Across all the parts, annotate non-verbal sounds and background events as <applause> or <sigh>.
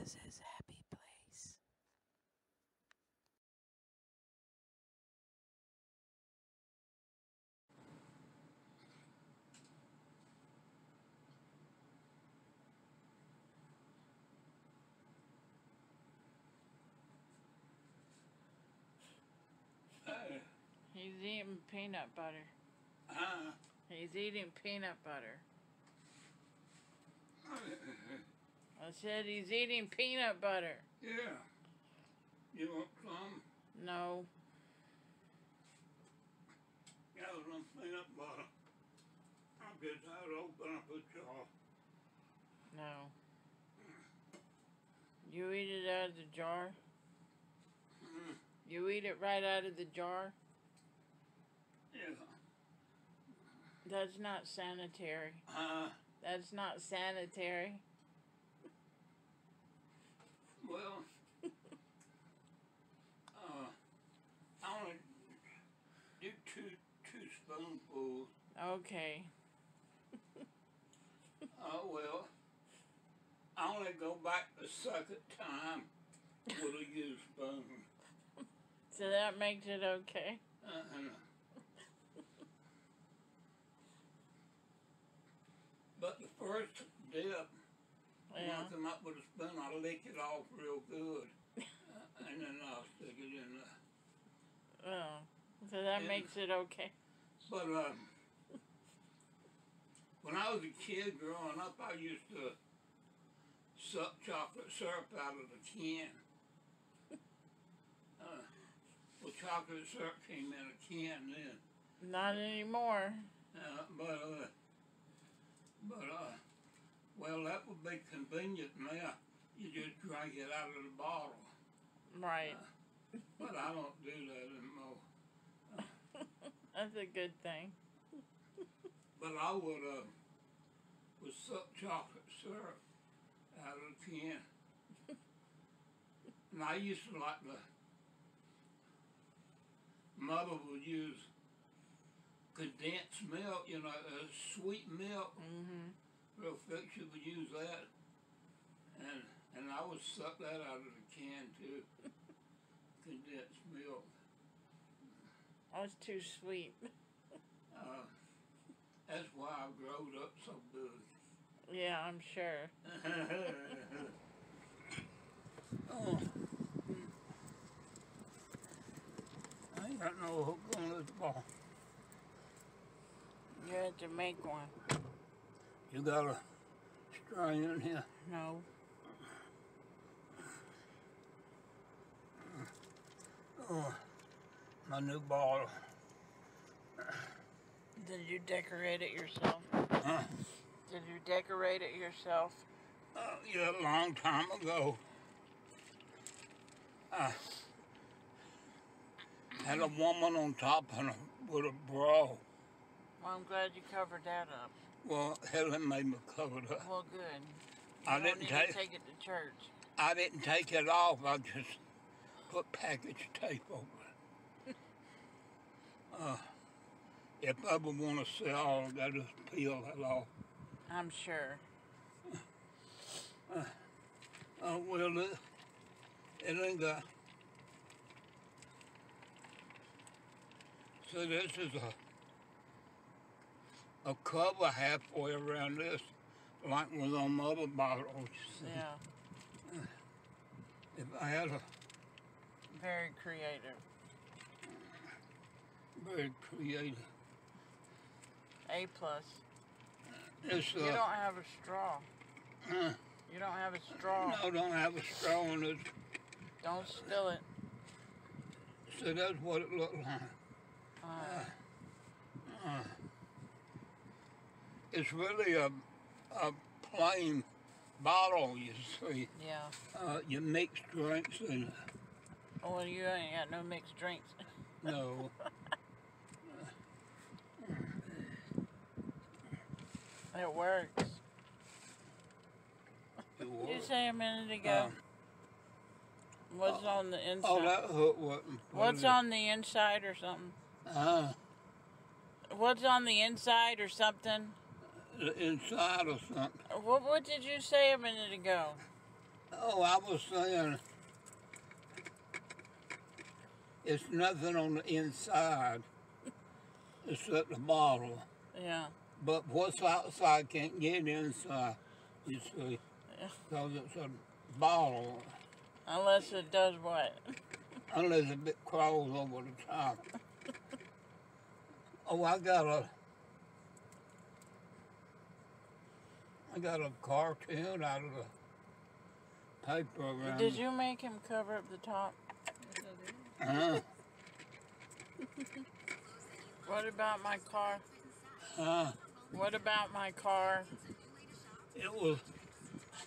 Liz's happy place. He's eating peanut butter. He's eating peanut butter. I said he's eating peanut butter. Yeah. You want some? No. Yeah, some peanut butter. I'm just out open a jar. No. You eat it out of the jar? Mm. You eat it right out of the jar? Yeah. That's not sanitary. Uh-huh. That's not sanitary. Well, <laughs> uh, I only do two two spoonfuls. Okay. <laughs> Oh uh, well, I only go back the second time with a used spoon. <laughs> so that makes it okay. Uh, <laughs> but the first dip, yeah. once I'm up with a spoon, I lick it off real good. <laughs> Uh, and then i stick it in the... Oh, so that makes it okay. But uh, when I was a kid growing up, I used to suck chocolate syrup out of the can. Uh, well, chocolate syrup came in a can then. Not anymore. Uh, but, uh, but, uh, well, that would be convenient now. You just drink it out of the bottle. Right. but I don't do that anymore. <laughs> That's a good thing. <laughs> But I would have uh, would suck chocolate syrup out of the can. and I used to like the mother would use condensed milk, you know, uh, sweet milk. Mm-hmm. Real thick, she would use that. And and I would suck that out of the can too. <laughs> condensed milk. That's oh, too sweet. <laughs> Uh, that's why I growed up so big. Yeah, I'm sure. <laughs> Oh. I got no hook on this ball. You had to make one. You got a string in here? No. Oh, my new ball. Did you decorate it yourself? Did you decorate it yourself? Uh, yeah, a long time ago. I had a woman on top of a, with a bra. Well, I'm glad you covered that up. Well, Helen made me coat up. Well, good. I didn't take, it to church. I didn't take it off. I just put package tape over it. <laughs> uh, if Bubba want to sell, they just peel that off. I'm sure. Uh, oh, well, it, ain't got. So this is a a cover halfway around this, like with on my other bottles. Yeah. If I had a... Very creative. Very creative. A plus. you uh, don't have a straw. Uh, you don't have a straw. No, don't have a straw in this don't spill it. So that's what it looked like. Uh, uh, it's really a, a plain bottle, you see. Yeah. Uh, you mix drinks and. Oh, well, you ain't got no mixed drinks. <laughs> no. it works. You say a minute ago. Oh. what's oh. on the inside? Oh, that hook wasn't. What's on the inside or something? Uh, what's on the inside or something? The inside or something. What, what did you say a minute ago? Oh, I was saying it's nothing on the inside except the bottle. Yeah. But what's outside can't get inside, uh, uh, Because it's a bottle. Unless it does what? <laughs> Unless it crawls over the top. oh, I got a... I got a cartoon out of the paper. Did you make him cover up the top? -huh what about my car? what about my car? It was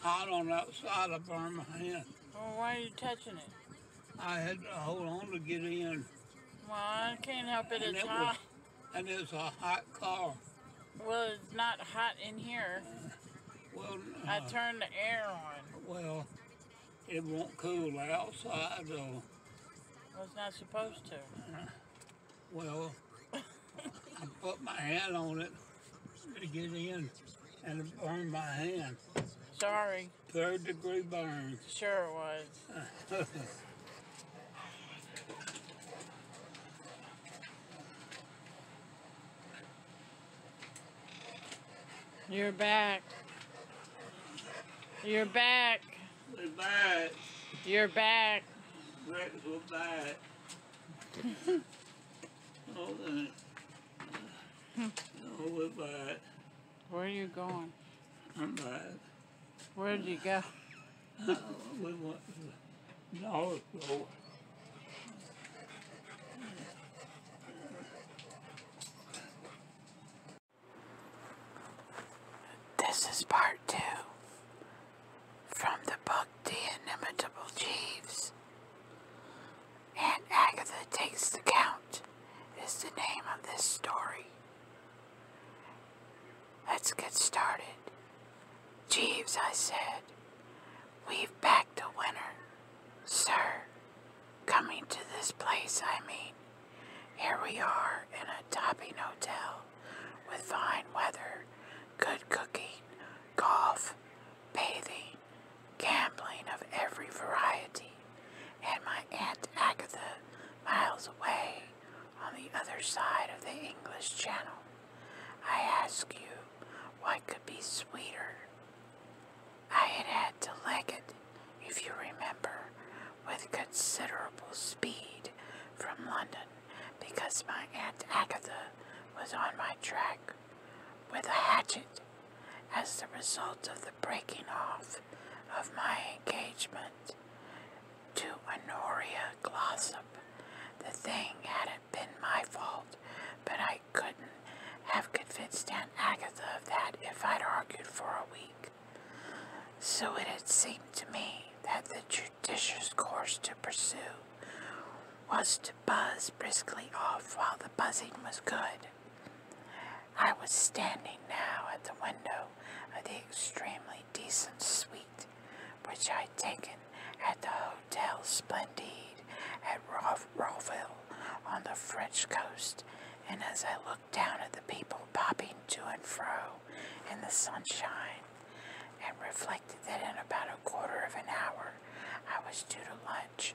hot on the outside. I burned my hand. Well, why are you touching it? I had to hold on to get in. Well, I can't help it. And it's it Was, a hot car. Well, it's not hot in here. well, I uh, turned the air on. Well, it won't cool outside, though. Well, it's not supposed to. well, I put my hand on it to get in, and it burned my hand. Sorry. Third degree burn. Sure was. <laughs> You're back. You're back. We're back. You're back. <laughs> we're back. Where are you going? I'm back. Where did you go? Uh, we went to the dollar this is part two from the book The Inimitable Jeeves. And Agatha Takes the Count is the name of this story. Let's get started. Jeeves, I said, we've backed a winner, sir coming to this place, I mean. Here we are in a topping hotel with fine weather, good cooking, golf, bathing, gambling of every variety, and my Aunt Agatha miles away on the other side of the English Channel. I ask you, what could be sweeter? I had had to leg it, if you remember, with considerable speed from London because my Aunt Agatha was on my track with a hatchet as the result of the breaking off of my engagement to Honoria Glossop. The thing hadn't been my fault, but I could not have convinced Aunt Agatha of that if I'd argued for a week. So it had seemed to me that the judicious course to pursue was to buzz briskly off while the buzzing was good. I was standing now at the window of the extremely decent suite which I'd taken at the Hotel Splendide at Raw of on the French coast, and as I looked down at the people popping to and fro in the sunshine, and reflected that in about a quarter of an hour I was due to lunch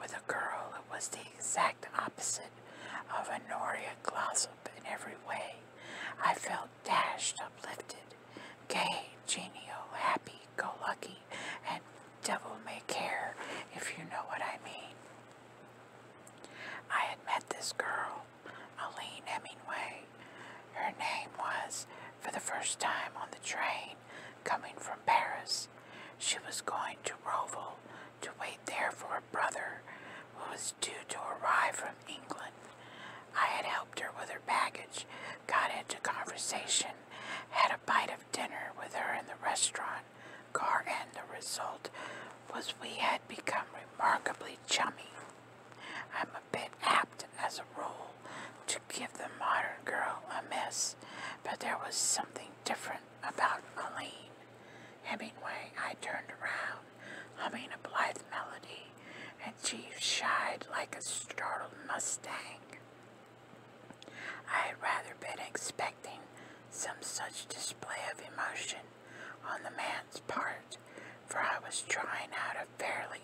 with a girl who was the exact opposite of Honoria Glossop in every way, I felt dashed, uplifted, gay, genial, happy, go lucky, and devil may care, if you know what I mean. I had met this girl, Aline Hemingway. Her name was for the first time on the train coming from Paris. She was going to Roval to wait there for a brother who was due to arrive from England. I had helped her with her baggage, got into conversation, had a bite of dinner with her in the restaurant, car and the result was we had become remarkably chummy. I'm a bit apt as a rule to give the modern girl a miss, but there was something different about Aline. Hemingway, I turned around, humming a blithe melody, and she shied like a startled mustang. I had rather been expecting some such display of emotion on the man's part, for I was trying out a fairly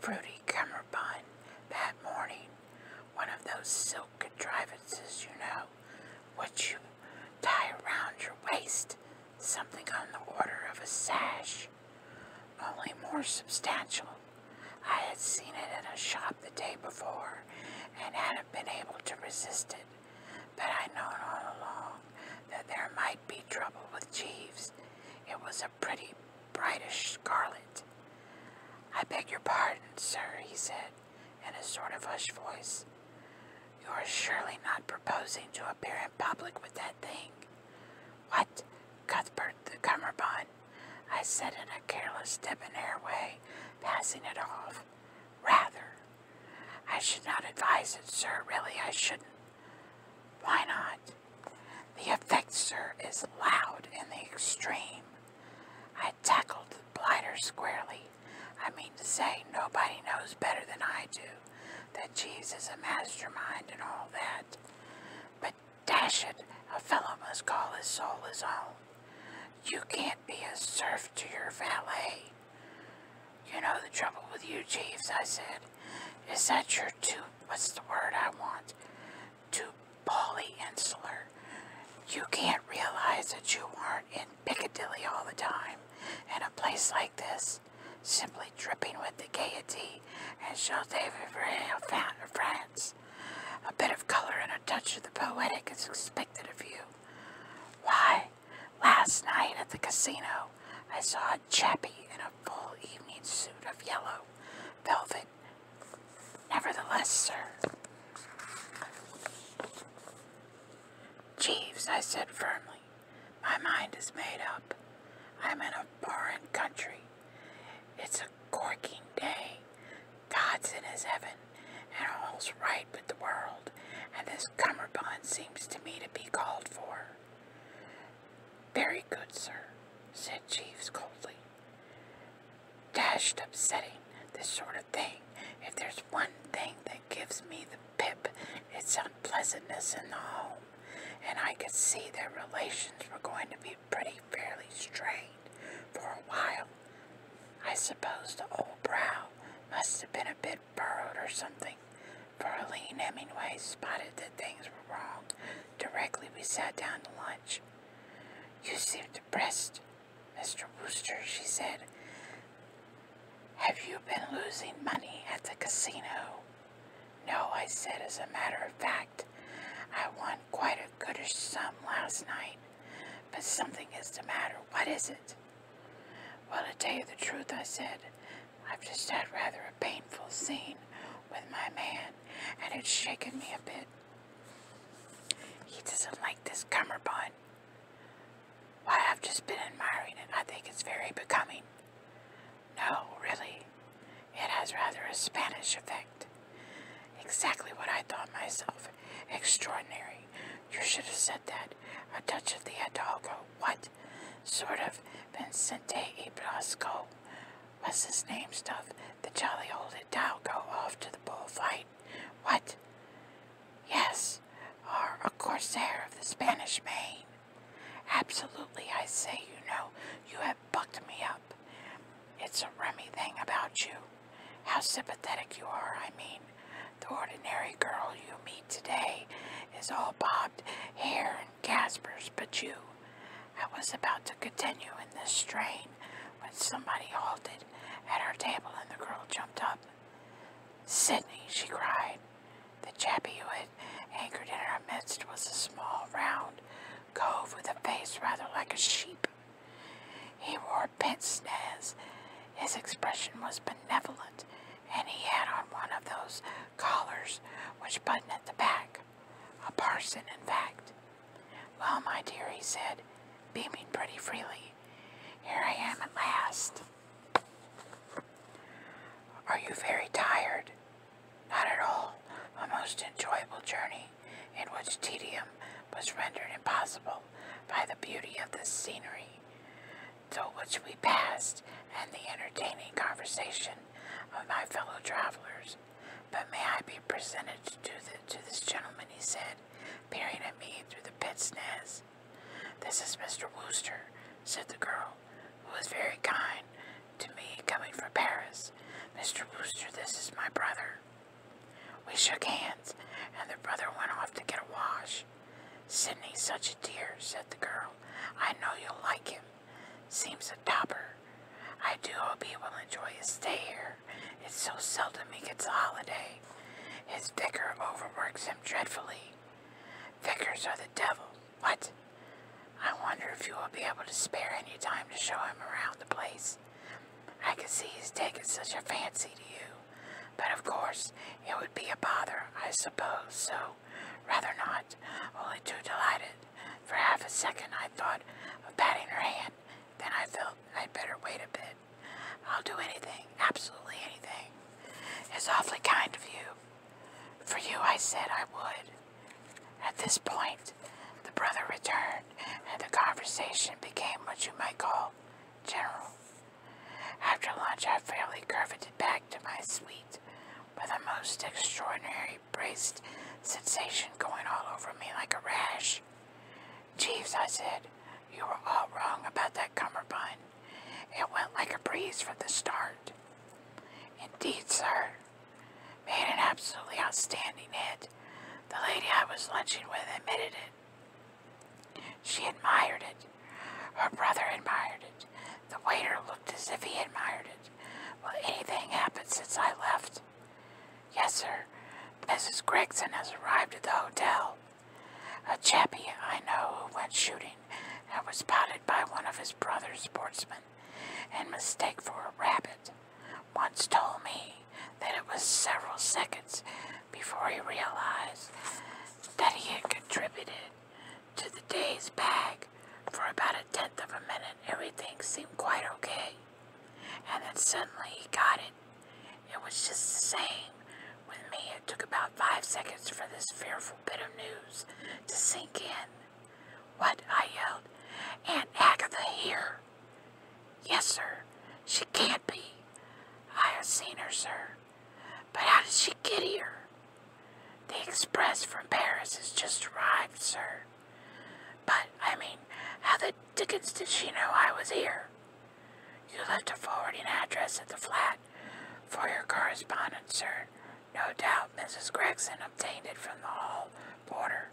fruity cummerbund that morning, one of those silk contrivances, you know, which you tie around your waist, something on the order of a sash, only more substantial. I had seen it in a shop the day before, power and hadn't been able to resist it, but I'd known all along that there might be trouble with Jeeves. It was a pretty brightish scarlet. I beg your pardon, sir, he said in a sort of hushed voice. You are surely not proposing to appear in public with that thing. What? Cuthbert the cummerbund. I said in a careless, debonair way, passing it off rather. I should not advise it, sir. Really, I shouldn't. Why not? The effect, sir, is loud in the extreme. I tackled the squarely. I mean to say, nobody knows better than I do that Jeeves is a mastermind and all that. But dash it, a fellow must call his soul his own. You can't be a serf to your valet. You know the trouble with you, Jeeves, I said, is that you're too, what's the word I want, too polyinsular. You can't realize that you aren't in Piccadilly all the time, in a place like this, simply dripping with the gaiety and David Chateau de France. A bit of color in touch of the poetic is expected of you. Why, last night at the casino, I saw a chappie in a full evening suit of yellow velvet. Nevertheless, sir. Jeeves, I said firmly, my mind is made up. I'm in a foreign country. It's a corking day, God's in his heaven and all's right with the world, and this cummerbund seems to me to be called for. Very good, sir, said Jeeves coldly. Dashed upsetting, this sort of thing. If there's one thing that gives me the pip, it's unpleasantness in the home, and I could see their relations were going to be pretty fairly strained for a while. I suppose the old brow must have been a bit burrowed or something, for Aline Hemingway spotted that things were wrong directly we sat down to lunch. You seem depressed, Mr. Wooster, she said. Have you been losing money at the casino? No, I said, as a matter of fact, I won quite a goodish sum last night. But something is the matter. What is it? Well, to tell you the truth, I said, I've just had rather a painful scene with my man, and it's shaken me a bit. He doesn't like this cummerbund. Why, I've just been admiring it. I think it's very becoming. No, really. It has rather a Spanish effect. Exactly what I thought myself. Extraordinary. You should have said that. A touch of the Hidalgo. What? Sort of Vicente y Blasco. What's his name stuff? The jolly old Hidalgo off to the bullfight. What? Yes, or a corsair of the Spanish main. Absolutely, I say, you know, you have bucked me up. It's a rummy thing about you. How sympathetic you are, I mean. The ordinary girl you meet today is all bobbed hair and Caspers but you. I was about to continue in this strain when somebody halted at our table and the girl jumped up. Sydney, she cried. The chappie who had anchored in our midst was a small, round cove with a face rather like a sheep. He wore pince nez. His expression was benevolent, and he had on one of those collars which button at the back. A parson, in fact. Well, my dear, he said, beaming pretty freely, here I am at last. Are you very tired? Not at all. A most enjoyable journey in which tedium was rendered impossible by the beauty of the scenery, through which we passed and the entertaining conversation of my fellow travelers. But may I be presented to, this gentleman, he said, peering at me through the pit's nest. This is Mr. Wooster, said the girl, who was very kind to me coming from Paris. Mr. Wooster, this is my brother. We shook hands, and the brother went off to get a wash. Sydney's such a dear, said the girl. I know you'll like him. Seems a topper. I do hope he will enjoy his stay here. It's so seldom he gets a holiday. His vicar overworks him dreadfully. Vicars are the devil. What? I wonder if you will be able to spare any time to show him around the place. I can see he's taken such a fancy to you, but of course it would be a bother, I suppose, so rather not, only too delighted. For half a second I thought of patting her hand, then I felt I'd better wait a bit. I'll do anything, absolutely anything. It's awfully kind of you. For you, I said I would. At this point, the brother returned and the conversation became what you might call general. After lunch, I fairly curveted back to my suite with a most extraordinary braced sensation going all over me like a rash. Jeeves, I said, you were all wrong about that cummerbund. It went like a breeze from the start. Indeed, sir. Made an absolutely outstanding hit. The lady I was lunching with admitted it. She admired it. Her brother admired it. The waiter looked as if he admired it. Will anything happen since I left? Yes, sir. Mrs. Gregson has arrived at the hotel. A chappie I know who went shooting and was spotted by one of his brother's sportsmen in mistake for a rabbit once told me that it was several seconds before he realized that he had contributed to the day's bag for about a tenth of a minute. Everything seemed quite okay. And then suddenly he got it. It was just the same with me. It took about five seconds for this fearful bit of news to sink in. What? I yelled. Aunt Agatha here. Yes, sir. She can't be. I have seen her, sir. But how did she get here? The express from Paris has just arrived, sir. But, I mean, how the dickens did she know I was here? You left a forwarding address at the flat for your correspondence, sir. No doubt Mrs. Gregson obtained it from the hall porter.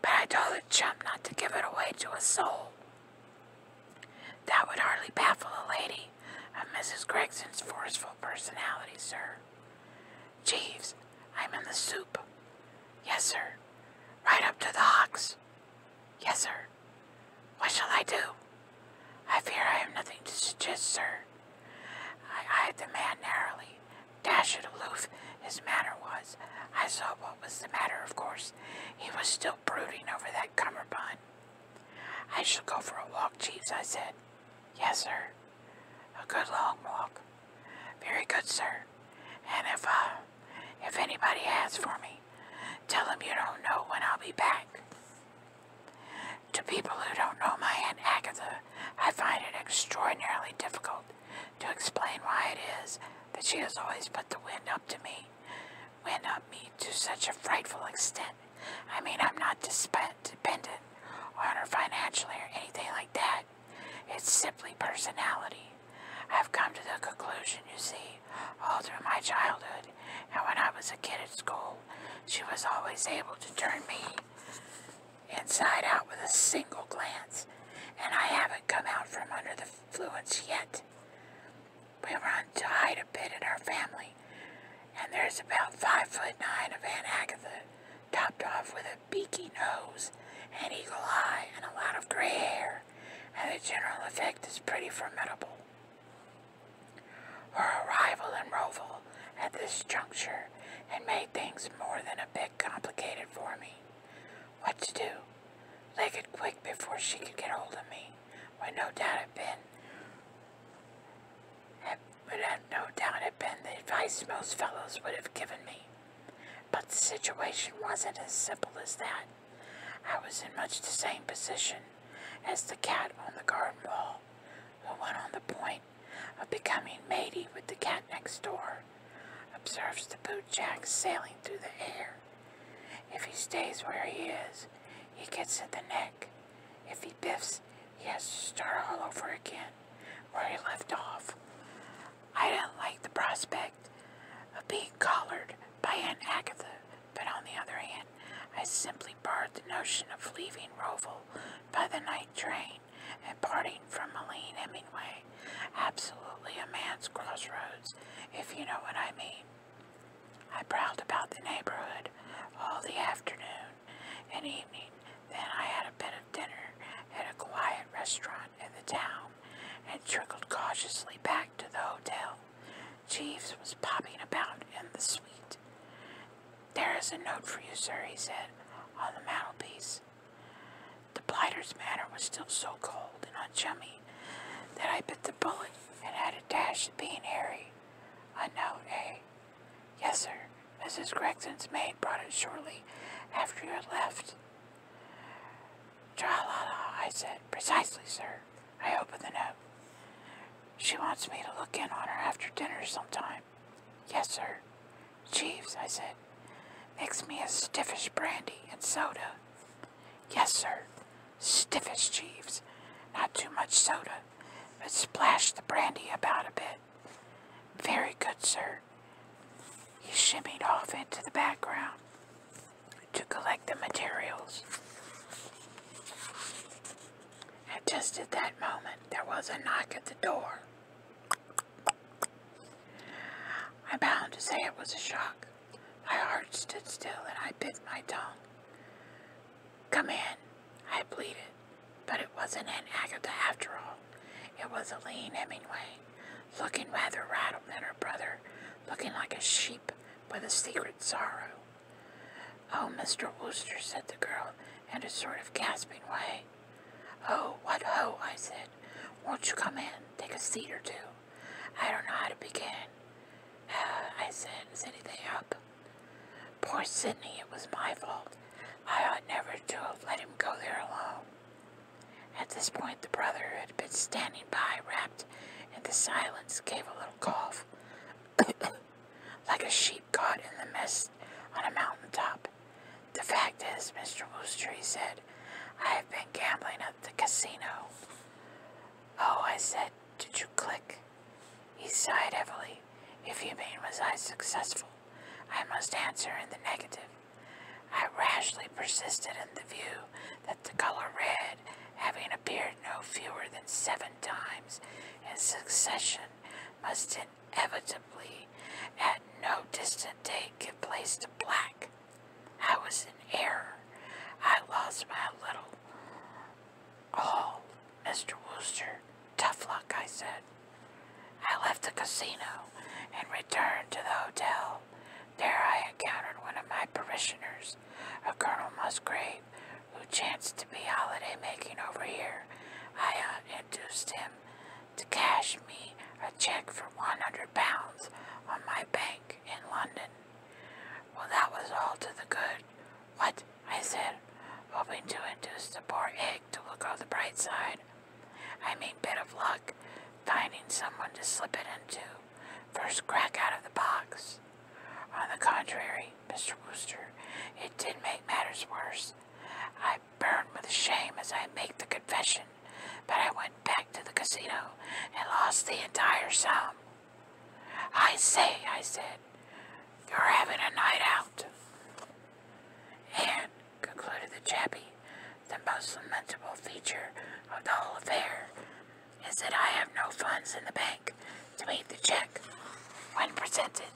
But I told the chump not to give it away to a soul. That would hardly baffle a lady of Mrs. Gregson's forceful personality, sir. Jeeves, I'm in the soup. Yes, sir. Right up to the hocks. Yes, sir. What shall I do? I fear I have nothing to suggest, sir. I eyed the man narrowly, it aloof, his manner was. I saw what was the matter, of course. He was still brooding over that cummerbund. I shall go for a walk, Jeeves, I said. Yes, sir. A good long walk. Very good, sir. And if, uh, if anybody asks for me, tell them you don't know when I'll be back. To people who don't know my Aunt Agatha, I find it extraordinarily difficult to explain why it is that she has always put the wind up to me, wind up me to such a frightful extent. I mean, I'm not dependent on her financially or anything like that. It's simply personality. I've come to the conclusion, you see, all through my childhood and when I was a kid at school, she was always able to turn me inside out with a single glance, and I haven't come out from under the influence yet. We run on to hide a bit in our family, and there's about five foot nine of Aunt Agatha, topped off with a beaky nose, an eagle eye, and a lot of gray hair, and the general effect is pretty formidable. Her arrival in Roval at this juncture had made things more than a bit complicated for me what to do. Legged quick before she could get hold of me, would no doubt have been, had, no doubt have been the advice most fellows would have given me. But the situation wasn't as simple as that. I was in much the same position as the cat on the garden wall, who one on the point of becoming matey with the cat next door observes the bootjack sailing through the air. If he stays where he is, he gets at the neck. If he biffs, he has to start all over again where he left off. I didn't like the prospect of being collared by Aunt Agatha, but on the other hand, I simply barred the notion of leaving Roval by the night train and parting from Helene Hemingway. Absolutely a man's crossroads, if you know what I mean. I prowled about the neighborhood all the afternoon and evening. Then I had a bit of dinner at a quiet restaurant in the town and trickled cautiously back to the hotel. Jeeves was popping about in the suite. There is a note for you, sir, he said, on the mantelpiece. The blighter's manner was still so cold and unchummy that I bit the bullet and had a dash at being airy. A note, eh? Yes, sir. Mrs. Gregson's maid brought it shortly after you had left. Tra-la-la, I said. Precisely, sir. I opened the note. She wants me to look in on her after dinner sometime. Yes, sir. Jeeves, I said, it. Mix me a stiffish brandy and soda. Yes, sir. Stiffish, Jeeves. Not too much soda, but splash the brandy about a bit. Very good, sir. He shimmied off into the background to collect the materials. And just at that moment, there was a knock at the door. I'm bound to say it was a shock. My heart stood still and I bit my tongue. Come in, I pleaded, but it wasn't an Agatha after all. It was a lean Hemingway, looking rather rattled than her brother, looking like a sheep with a secret sorrow. Oh, Mr. Wooster, said the girl in a sort of gasping way. Oh, what ho, I said. Won't you come in? take a seat or two. I don't know how to begin. Uh, I said, is anything up? Poor Sydney, it was my fault. I ought never to have let him go there alone. At this point, the brother who had been standing by, wrapped in the silence, gave a little cough, <coughs> like a sheep caught in the mist on a mountain top. The fact is, Mr. Wooster, said, I have been gambling at the casino. Oh, I said, did you click? He sighed heavily. If you mean was I successful, I must answer in the negative. I rashly persisted in the view that the color red, having appeared no fewer than seven times in succession, must inevitably at no distant date give place to black, I was in error. I lost my little all, oh, Mr. Wooster. Tough luck, I said. I left the casino and returned to the hotel. There I encountered one of my parishioners, a Colonel Musgrave, who chanced to be holiday making over here. I uh, induced him to cash me a check for 100 pounds on my bank in London. Well, that was all to the good. What? I said, hoping to induce the poor egg to look on the bright side. I mean, bit of luck, finding someone to slip it into, first crack out of the box. On the contrary, Mr. Wooster, it did make matters worse. I burn with shame as I make the confession but I went back to the casino and lost the entire sum. I say, I said, you're having a night out. And, concluded the chappie, the most lamentable feature of the whole affair is that I have no funds in the bank to meet the check when presented.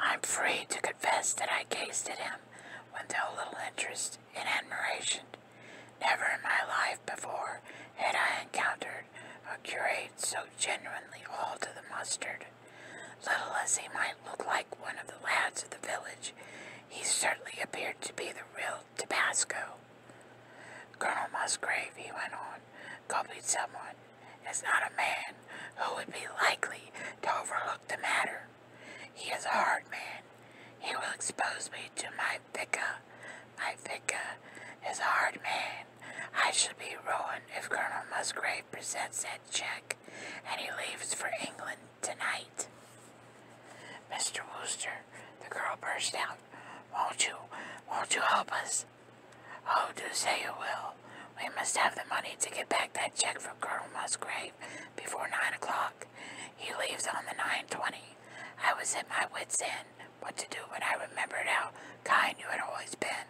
I'm free to confess that I gazed at him with a little interest and admiration. Never in my life before had I encountered a curate so genuinely all to the mustard. Little as he might look like one of the lads of the village, he certainly appeared to be the real Tabasco. Colonel Musgrave, he went on, copied someone, It's not a man who would be likely to overlook the matter he is a hard man. He will expose me to my Thicca. My Thicca is a hard man. I should be ruined if Colonel Musgrave presents that check and he leaves for England tonight. Mr. Wooster, the girl burst out. Won't you, won't you help us? Oh, do say you will. We must have the money to get back that check from Colonel Musgrave before 9 o'clock. He leaves on the 9.20. I was at my wit's end what to do when I remembered how kind you had always been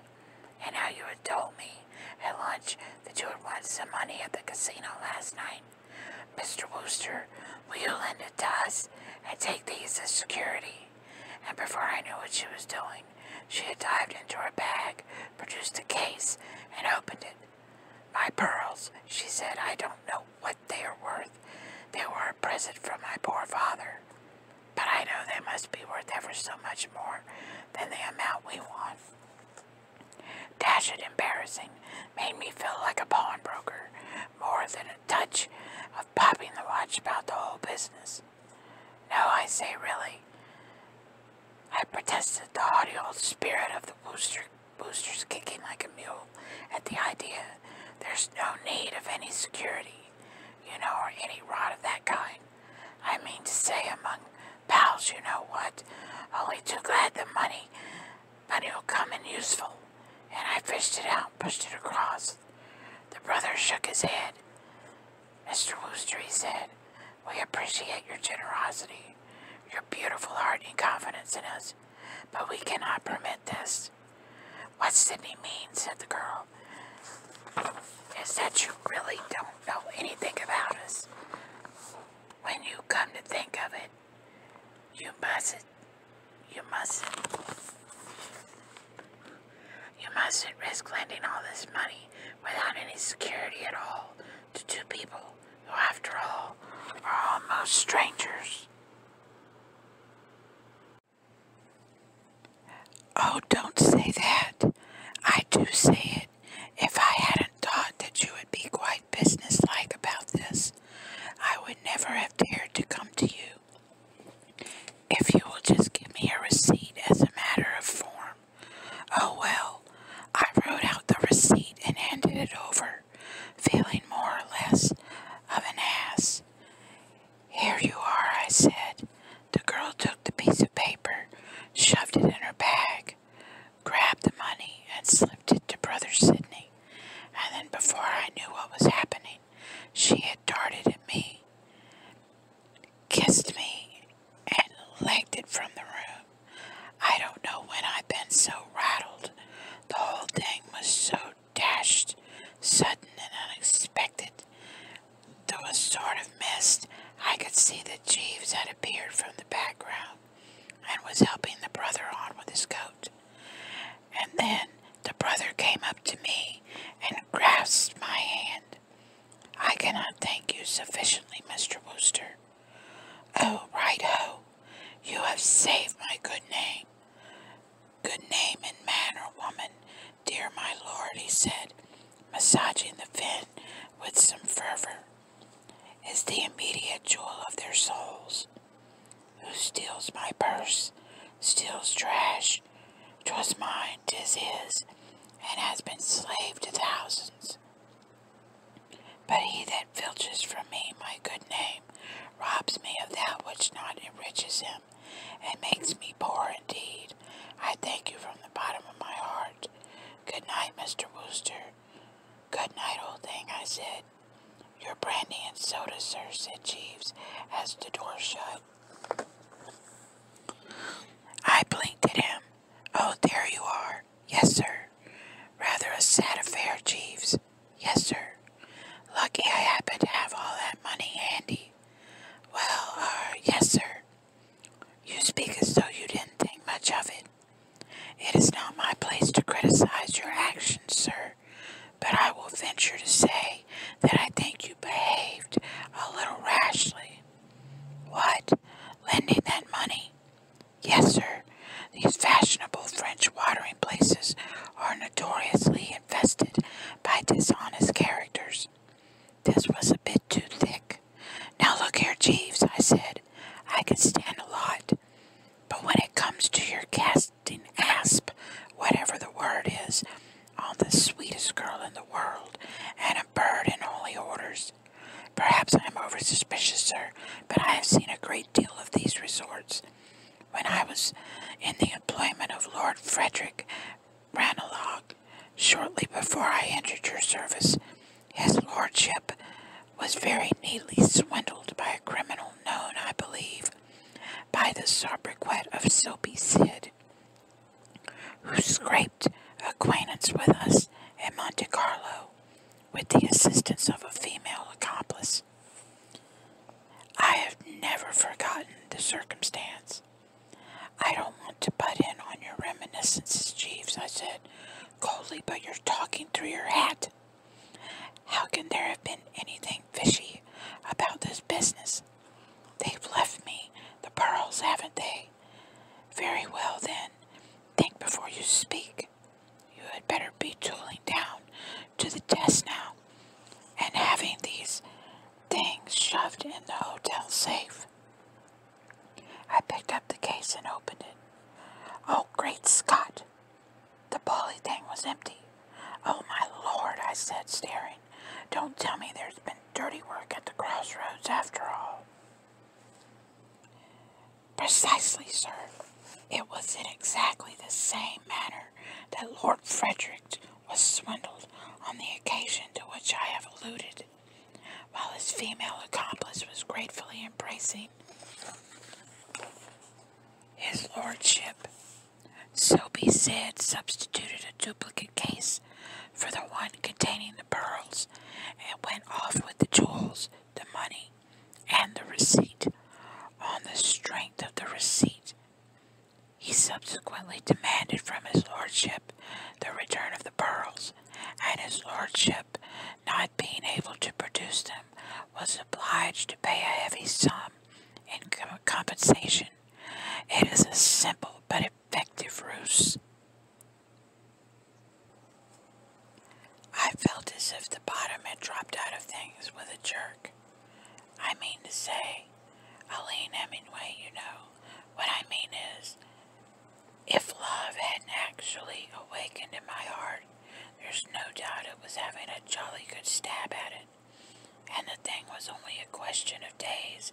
and how you had told me at lunch that you had won some money at the casino last night. Mr. Wooster, will you lend it to us and take these as security? And before I knew what she was doing, she had dived into her bag produced a case and opened it. My pearls, she said, I don't know what they are worth. They were a present from my poor father. But I know they must be worth ever so much more than the amount we want. Dash it embarrassing made me feel like a pawnbroker, more than a touch of popping the watch about the whole business. No, I say really. I protested the hearty old spirit of the booster, boosters kicking like a mule at the idea there's no need of any security, you know, or any rot of that kind. I mean to say among pals, you know what, only too glad the money, money will come in useful. And I fished it out, pushed it across. The brother shook his head. Mr. Wooster, he said, we appreciate your generosity, your beautiful heart and confidence in us, but we cannot permit this. What Sydney means, said the girl, is that you really don't know anything about us. When you come to think of it, you mustn't, you mustn't, you mustn't risk lending all this money without any security at all to two people who, after all, are almost strangers. Oh, don't say that. I do say it. If I hadn't thought that you would be quite businesslike about this, I would never have dared to come to you. If you will just give me a receipt as a matter of form, Oh well, I wrote out the receipt and handed it over, feeling more or less of an ass. Here you are, I said. The girl took the piece of paper, shoved it in her bag, grabbed the money, and slipped it to Brother Sidney. And then before I knew what was happening, she had darted at me kissed me, and legged it from the room. I don't know when I've been so rattled. The whole thing was so dashed, sudden, and unexpected. Though a sort of mist, I could see that Jeeves had appeared from the background and was helping the brother on with his coat. And then the brother came up to me and grasped my hand. I cannot thank you sufficiently, Mr. Wooster. Oh, right ho, you have saved my good name. Good name and or woman, dear my lord, he said, massaging the fin with some fervor, is the immediate jewel of their souls. Who steals my purse, steals trash, 'twas mine, 'tis his, and has been slave to thousands. But he that filches from me my good name robs me of that which not enriches him and makes me poor indeed. I thank you from the bottom of my heart. Good night, Mr. Wooster. Good night, old thing, I said. Your brandy and soda, sir, said Jeeves as the door shut. I blinked at him. Oh, there you are. Yes, sir. Rather a sad affair, Jeeves. Yes, sir. Lucky I happened to have all that money handy. Well, uh, yes, sir. You speak as though you didn't think much of it. It is not my place to criticize your actions, sir, but I will venture to say that I think you behaved a little rashly. What? Lending that money? Yes, sir. These fashionable French watering places are notoriously infested by dishonest characters. This was a bit too thick. Now look here, Jeeves, I said. I can stand a lot. But when it comes to your casting asp, whatever the word is, on the sweetest girl in the world and a bird in holy orders, Perhaps I am over suspicious, sir, but I have seen a great deal of these resorts. When I was in the employment of Lord Frederick Ranelagh, shortly before I entered your service, his lordship was very neatly swindled by a criminal known, I believe, by the sobriquet of Soapy Sid who scraped acquaintance with us at Monte Carlo with the assistance of a female accomplice. I have never forgotten the circumstance. I don't want to butt in on your reminiscences, Jeeves, I said coldly, but you're talking through your hat. How can there have been anything fishy about this business? They've left me the pearls, haven't they? Very well then, think before you speak. You had better be tooling down to the test now and having these things shoved in the hotel safe. I picked up the case and opened it. Oh, great Scott! The bully thing was empty. Oh, my lord, I said, staring. Don't tell me there's been dirty work at the crossroads after all. Precisely, sir. It was in exactly the same manner that Lord Frederick was swindled on the occasion to which I have alluded, while his female accomplice was gratefully embracing his lordship. So be said substituted a duplicate case for the one containing and pearls, and went off with the jewels, the money, and the receipt. On the strength of the receipt, he subsequently demanded from his lordship the return of the pearls, and his lordship, not being able to produce them, was obliged to pay a heavy sum in compensation. It is a simple but effective ruse. I felt as if the bottom had dropped out of things with a jerk. I mean to say, Aline Hemingway, you know, what I mean is, if love hadn't actually awakened in my heart, there's no doubt it was having a jolly good stab at it. And the thing was only a question of days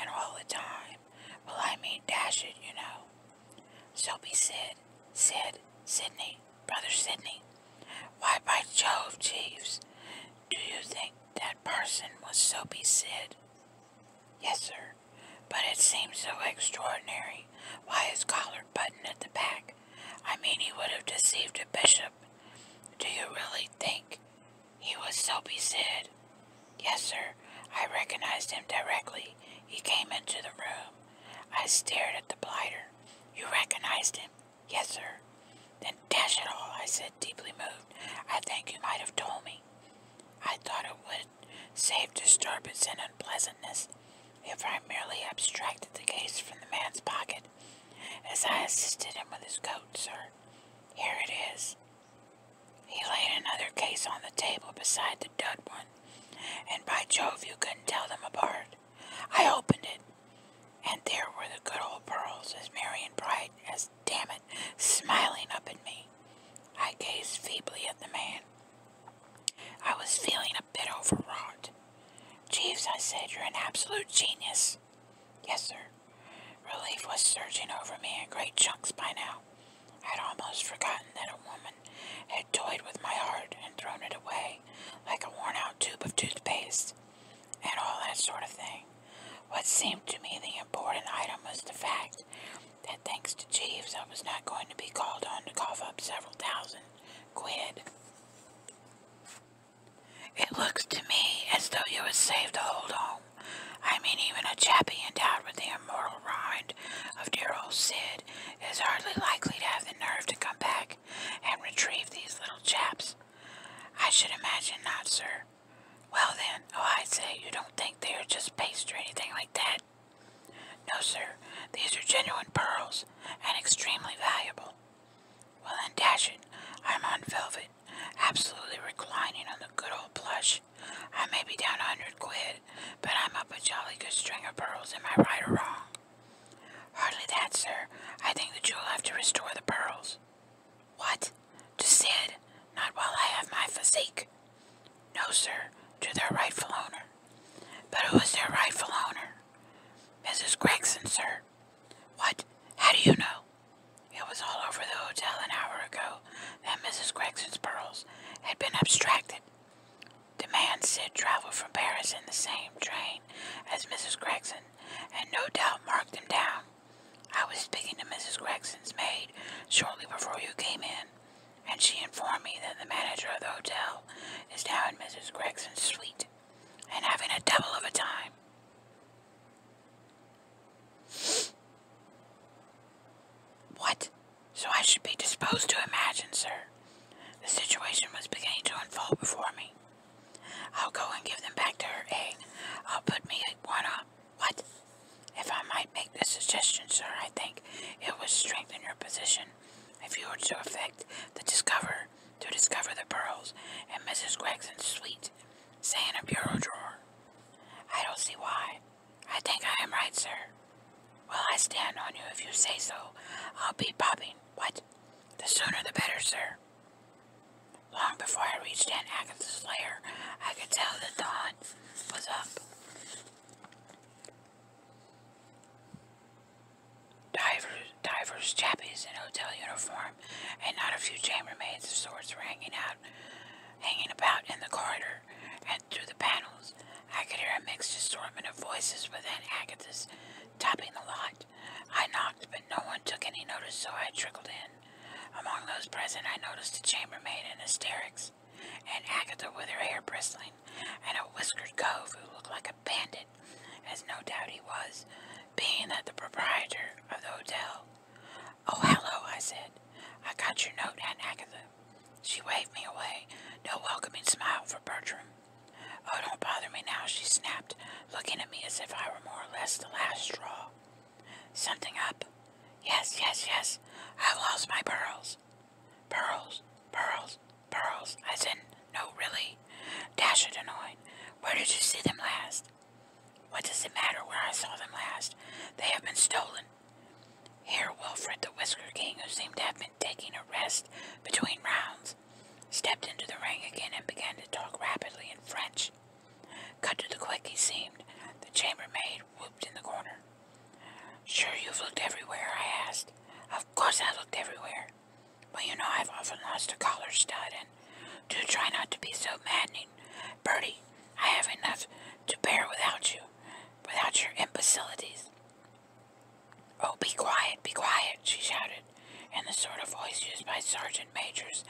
and all the time. Well, I mean, dash it, you know. Soapy Sid. Sid. Sidney, Brother Sidney. Why, by Jove, Jeeves, do you think that person was Soapy Sid? Yes, sir. But it seems so extraordinary. Why his collar button at the back? I mean, he would have deceived a bishop. Do you really think he was Soapy Sid. Yes, sir. I recognized him directly. He came into the room. I stared at the blighter. You recognized him? Yes, sir. Then dash it all, I said, deeply moved. I think you might have told me. I thought it would save disturbance and unpleasantness if I merely abstracted the case from the man's pocket as I assisted him with his coat, sir. Here it is. He laid another case on the table beside the dead one, and by Jove, you couldn't tell them apart. I opened it, and there were the good old pearls, as merry and bright as damn it, smiling up at me. I gazed feebly at the man. I was feeling a bit overwrought. Jeeves, I said, you're an absolute genius. Yes, sir. Relief was surging over me in great chunks by now. I'd almost forgotten that a woman had toyed with my heart and thrown it away like a worn out tube of toothpaste and all that sort of thing. What seemed to me the important item was the fact that thanks to Jeeves I was not going to be called on to cough up several thousand quid. It looks to me as though you had saved a whole lot. I mean, even a chappie endowed with the immortal rind of dear old Sid is hardly likely to have the nerve to come back and retrieve these little chaps. I should imagine not, sir. Well then, oh, I say, you don't think they are just paste or anything like that? No, sir. These are genuine pearls, and extremely valuable. Well then, dash it. I'm on velvet, absolutely reclining on the good old plush. I may be down a hundred quid, but I'm up a jolly good string of pearls, am I right or wrong? Hardly that, sir. I think that you'll have to restore the pearls. What? To Sid? Not while I have my physique. No, sir, to their rightful owner. But who is their rightful owner? Mrs. Gregson, sir. What? How do you know? It was all over the hotel an hour ago that Mrs. Gregson's pearls had been abstracted. The man Sid travel from Paris in the same train as Mrs. Gregson, and no doubt marked him down. I was speaking to Mrs. Gregson's maid shortly before you came in, and she informed me that the manager of the hotel is now in Mrs. Gregson's suite and having a double of a time. What? So I should be disposed to imagine, sir. The situation was beginning to unfold before me. I'll go and give them back to her egg. I'll put me one up. What? If I might make the suggestion, sir, I think it would strengthen your position if you were to effect the discover to discover the pearls in Mrs. Gregson's suite, say in a bureau drawer. I don't see why. I think I am right, sir. Well, I stand on you if you say so. I'll be popping. What? The sooner the better, sir. Long before I reached Aunt Agatha's lair, I could tell that dawn was up. Divers, divers, chappies in hotel uniform, and not a few chambermaids of sorts were hanging out hanging about in the corridor and through the panels. I could hear a mixed assortment of voices within Agatha's topping the lot. I knocked, but no one took any notice, so I trickled in. Among those present, I noticed a chambermaid in hysterics, and Agatha with her hair bristling, and a whiskered cove who looked like a bandit, as no doubt he was, being that the proprietor of the hotel Oh, hello, I said. I got your note, Aunt Agatha. She waved me away, no welcoming smile for Bertram. Oh, don't bother me now, she snapped, looking at me as if I were more or less the last straw. Something up? Yes, yes, yes. I've lost my pearls. Pearls, pearls, pearls. I said, no, really? Dash it, annoyed. Where did you see them last? What does it matter where I saw them last? They have been stolen. Here, Wilfred the Whisker King, who seemed to have been taking a rest between rounds, stepped into the ring again and began to talk rapidly in French. Cut to the quick, he seemed. The chambermaid whooped in the corner. Sure you've looked everywhere, I asked. Of course I looked everywhere. But you know I've often lost a collar stud, and do try not to be so maddening Bertie, I have enough to bear without you, without your imbecilities. Oh, be quiet, be quiet, she shouted, in the sort of voice used by sergeant majors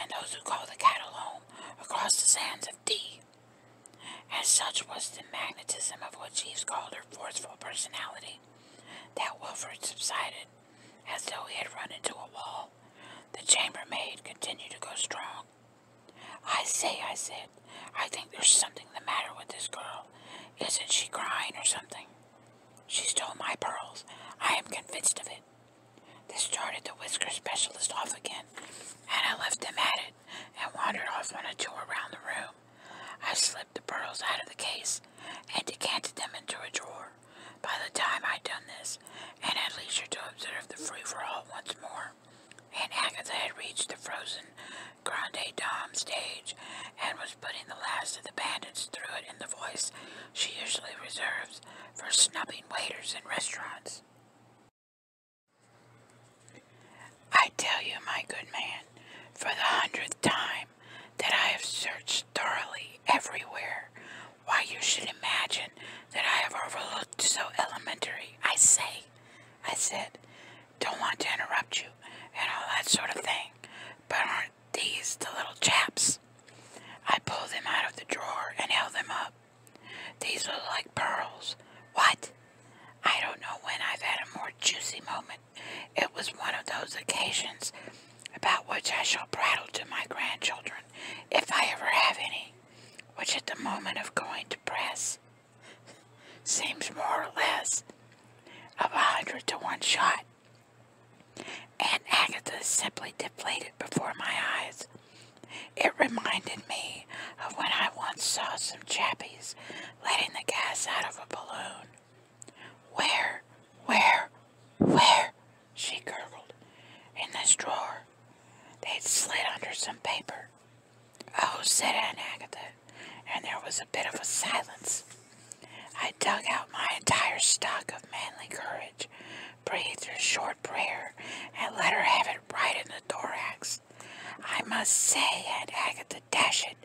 and those who call the cattle home across the sands of D. As such was the magnetism of what Jeeves called her forceful personality, that Wilfrid subsided, as though he had run into a wall. The chambermaid continued to go strong. I say, I said, I think there's something the matter with this girl. Isn't she crying or something? She stole my pearls. I am convinced of it. This started the whisker specialist off again, and I left him at it and wandered off on a tour around the room. I slipped the pearls out of the case and decanted them into a drawer. By the time I'd done this, Paris and had leisure to observe the free-for-all once more. And Agatha had reached the frozen Grande Dame stage and was putting the last of the bandits through it in the voice she usually reserves for snubbing waiters in restaurants. I tell you, my good man, for the hundredth time, that I have searched thoroughly everywhere why you should imagine that I have overlooked so elementary. I say, I said, don't want to interrupt you and all that sort of thing, but aren't these the little chaps? I pulled them out of the drawer and held them up. These look like pearls. What? I don't know when I've had a more juicy moment. It was one of those occasions about which I shall prattle to my grandchildren, if I ever have any which at the moment of going to press seems more or less of a hundred to one shot. And Agatha simply deflated before my eyes. It reminded me of when I once saw some chappies letting the gas out of a balloon. Where, where, where she gurgled. In this drawer, they'd slid under some paper. Oh, said Aunt Agatha, and there was a bit of a silence. I dug out my entire stock of manly courage, breathed a short prayer, and let her have it right in the thorax. I must say, Aunt Agatha, dash it,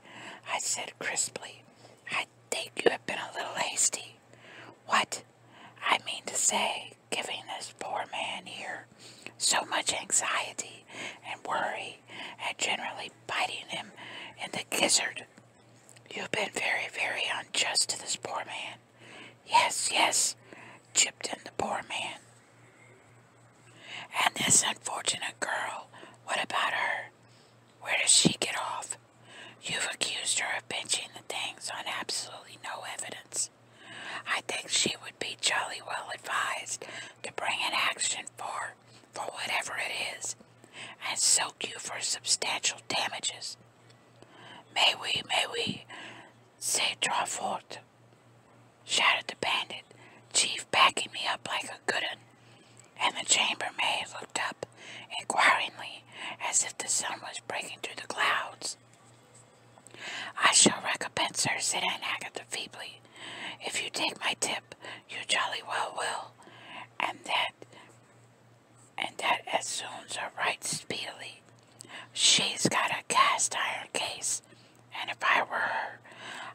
I said crisply. I think you have been a little hasty. What? I mean to say, giving this poor man here so much anxiety and worry and generally biting him in the gizzard. You've been very, very unjust to this poor man. Yes, yes, chipped in the poor man. And this unfortunate girl, what about her? Where does she get off? You've accused her of pinching the things on absolutely no evidence I think she would be jolly well advised to bring an action for, for whatever it is, and soak you for substantial damages. May we, may we, say draw forth, shouted the bandit, chief backing me up like a good un, and the chambermaid looked up inquiringly as if the sun was breaking through the clouds. I shall recompense her, said Aunt Agatha feebly. If you take my tip, you jolly well will, and that and that as soon's a right speedily. She's got a cast iron case, and if I were her,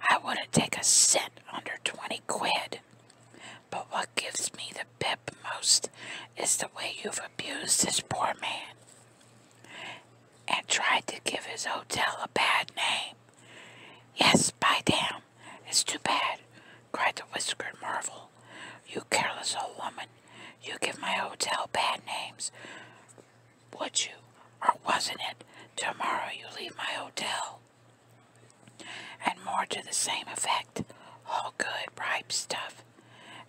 I wouldn't take a cent under twenty quid. But what gives me the pip most is the way you've abused this poor man and tried to give his hotel a bad name. Yes, by damn, it's too bad, cried the whiskered marvel. You careless old woman, you give my hotel bad names, would you? Or wasn't it? Tomorrow you leave my hotel. And more to the same effect. All good, ripe stuff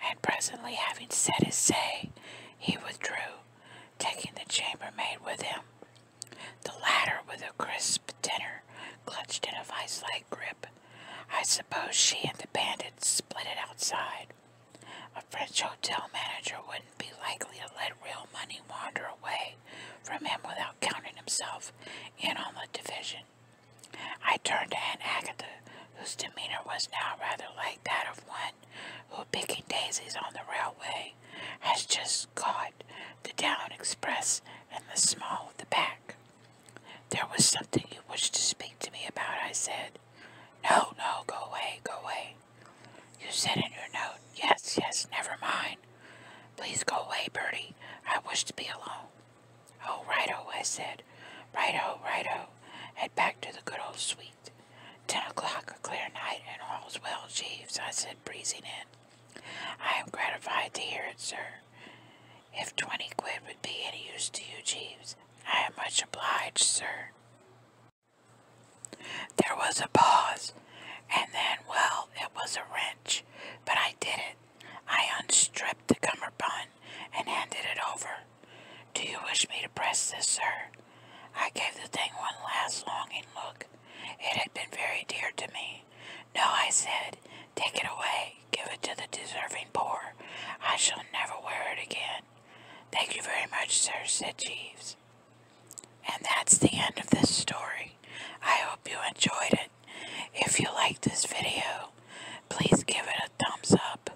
and presently having said his say, he withdrew, taking the chambermaid with him, the latter with a crisp dinner clutched in a vice-like grip. I suppose she and the bandits split it outside. A French hotel manager wouldn't be likely to let real money wander away from him without counting himself in on the division. I turned to Aunt Agatha, whose demeanor was now rather like that of one who, picking daisies on the railway, has just caught the down express and the small of the back. There was something you wished to speak to me about, I said. No, no, go away, go away. You said in your note, yes, yes, never mind. Please go away, Bertie. I wish to be alone. Oh, righto, I said. Righto, righto. Head back to the good old suite. Ten o'clock, a clear night, and all's well, Jeeves, I said, breezing in. I am gratified to hear it, sir. If twenty quid would be any use to you, Jeeves, I am much obliged, sir. There was a pause, and then, well, it was a wrench, but I did it. I unstripped the cummerbund and handed it over. Do you wish me to press this, sir? I gave the thing one last longing look. It had been very dear to me. No, I said, take it away. Give it to the deserving poor. I shall never wear it again. Thank you very much, sir, said Jeeves. And that's the end of this story. I hope you enjoyed it. If you like this video, please give it a thumbs up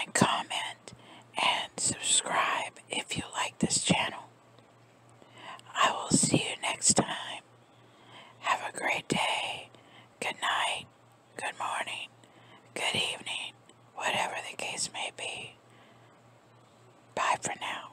and comment and subscribe if you like this channel. I will see you next time. Have a great day. Good night. Good morning. Good evening. Whatever the case may be. Bye for now.